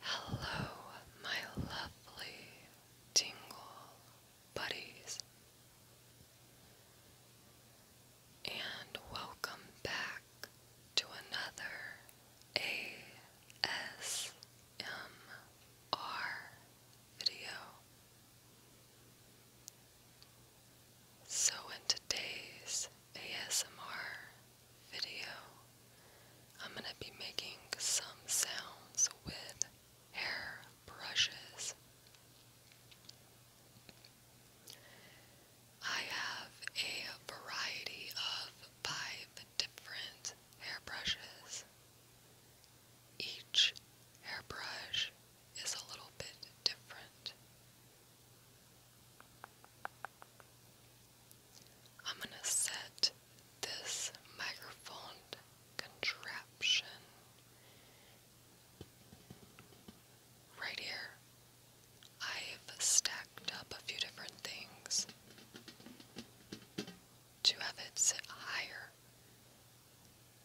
Hello, my lovely tingle buddies, and welcome back to another ASMR video. So, in today's ASMR video, I'm going to be making some sounds with hair brushes. I have a variety of five different hair brushes. Each hairbrush is a little bit different. I'm going to set this microphone contraption right here. I've stacked up a few different things to have it sit higher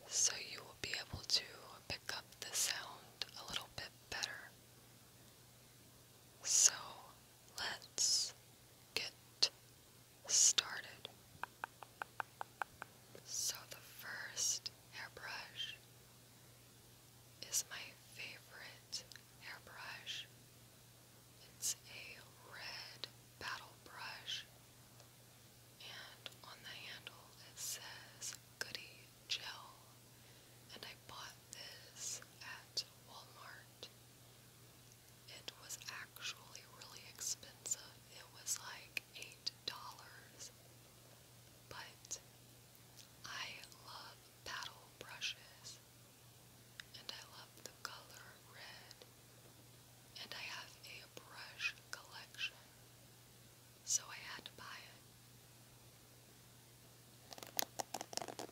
so you will be able to pick up the sound a little bit better. So Let's get started. So, the first hairbrush is my favorite hairbrush. It's a red battle brush, and on the handle it says Goody Gel. And I bought this at Walmart. It was actually really expensive. It was like eight dollars. But I love paddle brushes and I love the color red. And I have a brush collection. So I had to buy it.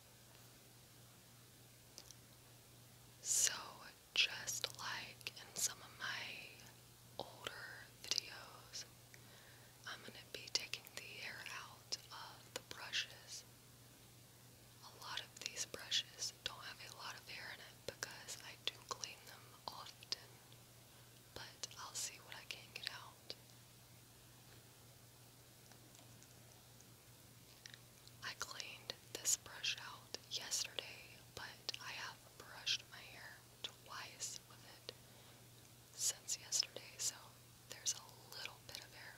So, just like in some of my older videos, I'm going to be taking the air out of the brushes. A lot of these brushes don't have a lot of air in it because I do clean them often, but I'll see what I can get out. I cleaned this brush out yesterday, but I have brushed my hair twice with it since yesterday, so there's a little bit of hair.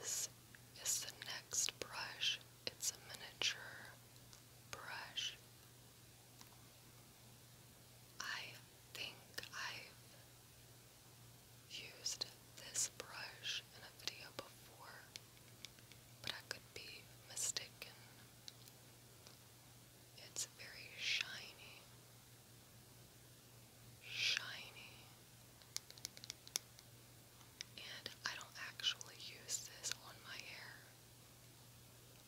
This is the next brush. It's a miniature brush I think I've used this brush in a video before, but I could be mistaken. It's very shiny. Shiny. And I don't actually use this on my hair.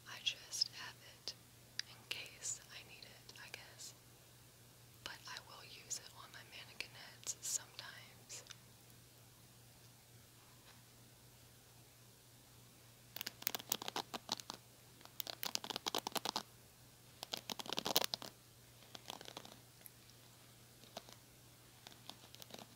I just have it in case I need it, I guess. But I will use it on my mannequin heads sometimes.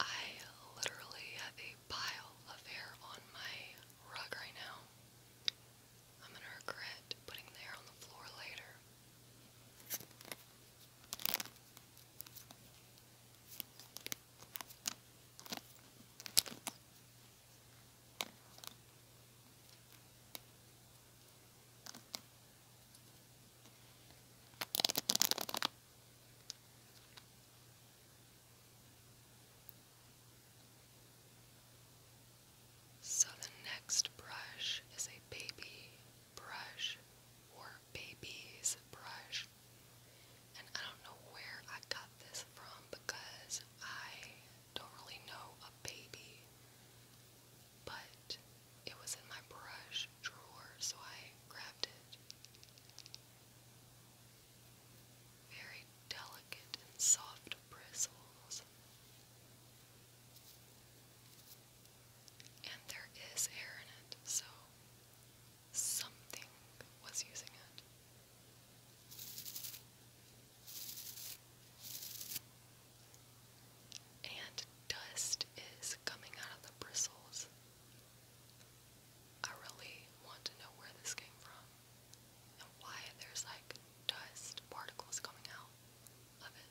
I literally have a pile of hair on my rug right now. I'm gonna regret putting the hair on the floor later. So the next brush is a baby brush or baby's brush. And I don't know where I got this from because I don't really know a baby, but it was in my brush drawer, so I grabbed it. Very delicate and soft bristles. And there is air in it, so something was using it. And dust is coming out of the bristles. I really want to know where this came from and why there's like dust particles coming out of it.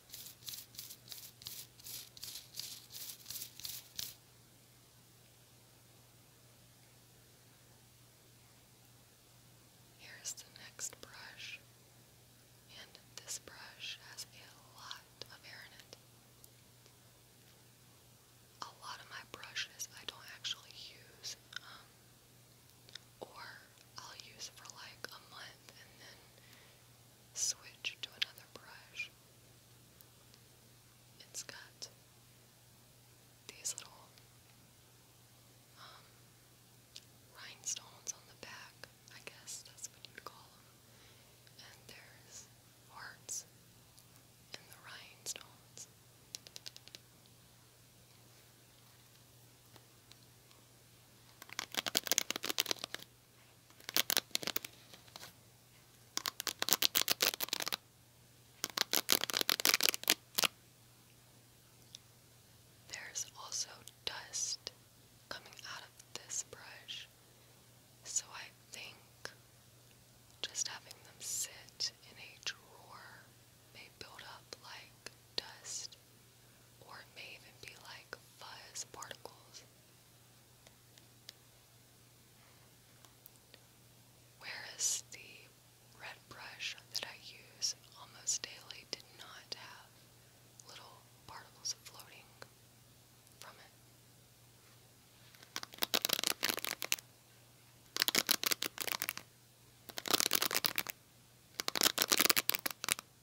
Here's the next brush, and this brush has a lot of hair in it. A lot of my brushes I don't actually use, um, or I'll use it for like a month and then switch to another brush. It's got these little um, rhinestones on the back, I guess that's what you'd call them. And there's hearts in the rhinestones. There's also dust coming out of this brush, so I think just having them sit in a drawer may build up like dust or it may even be like fuzz particles. Whereas the red brush that I use almost daily did not have little particles floating from it.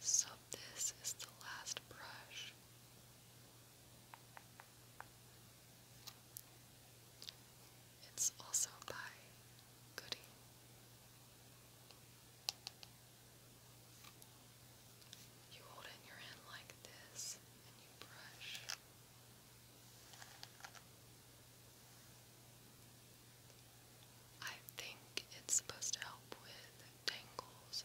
So, this is the last brush. It's also by Goody. You hold it in your hand like this and you brush. I think it's supposed to help with tangles.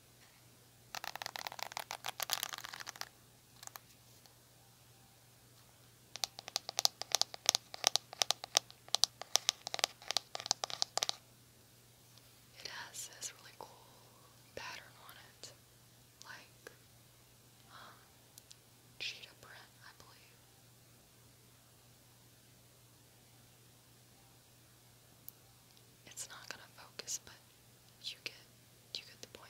It has this really cool pattern on it, like um, cheetah print, I believe. It's not gonna focus, but you get you get the point.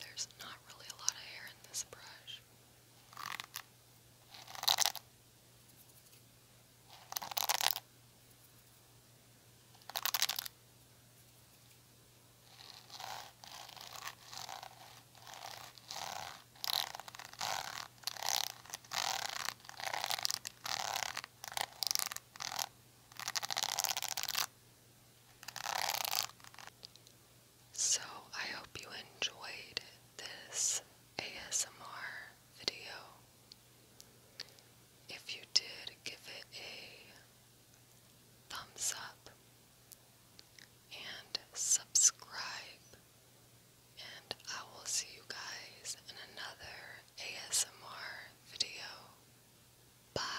There's not really a lot of hair in this brush. So, I hope you enjoyed this ASMR video. If you did, give it a thumbs up and subscribe, and I will see you guys in another ASMR video. Bye.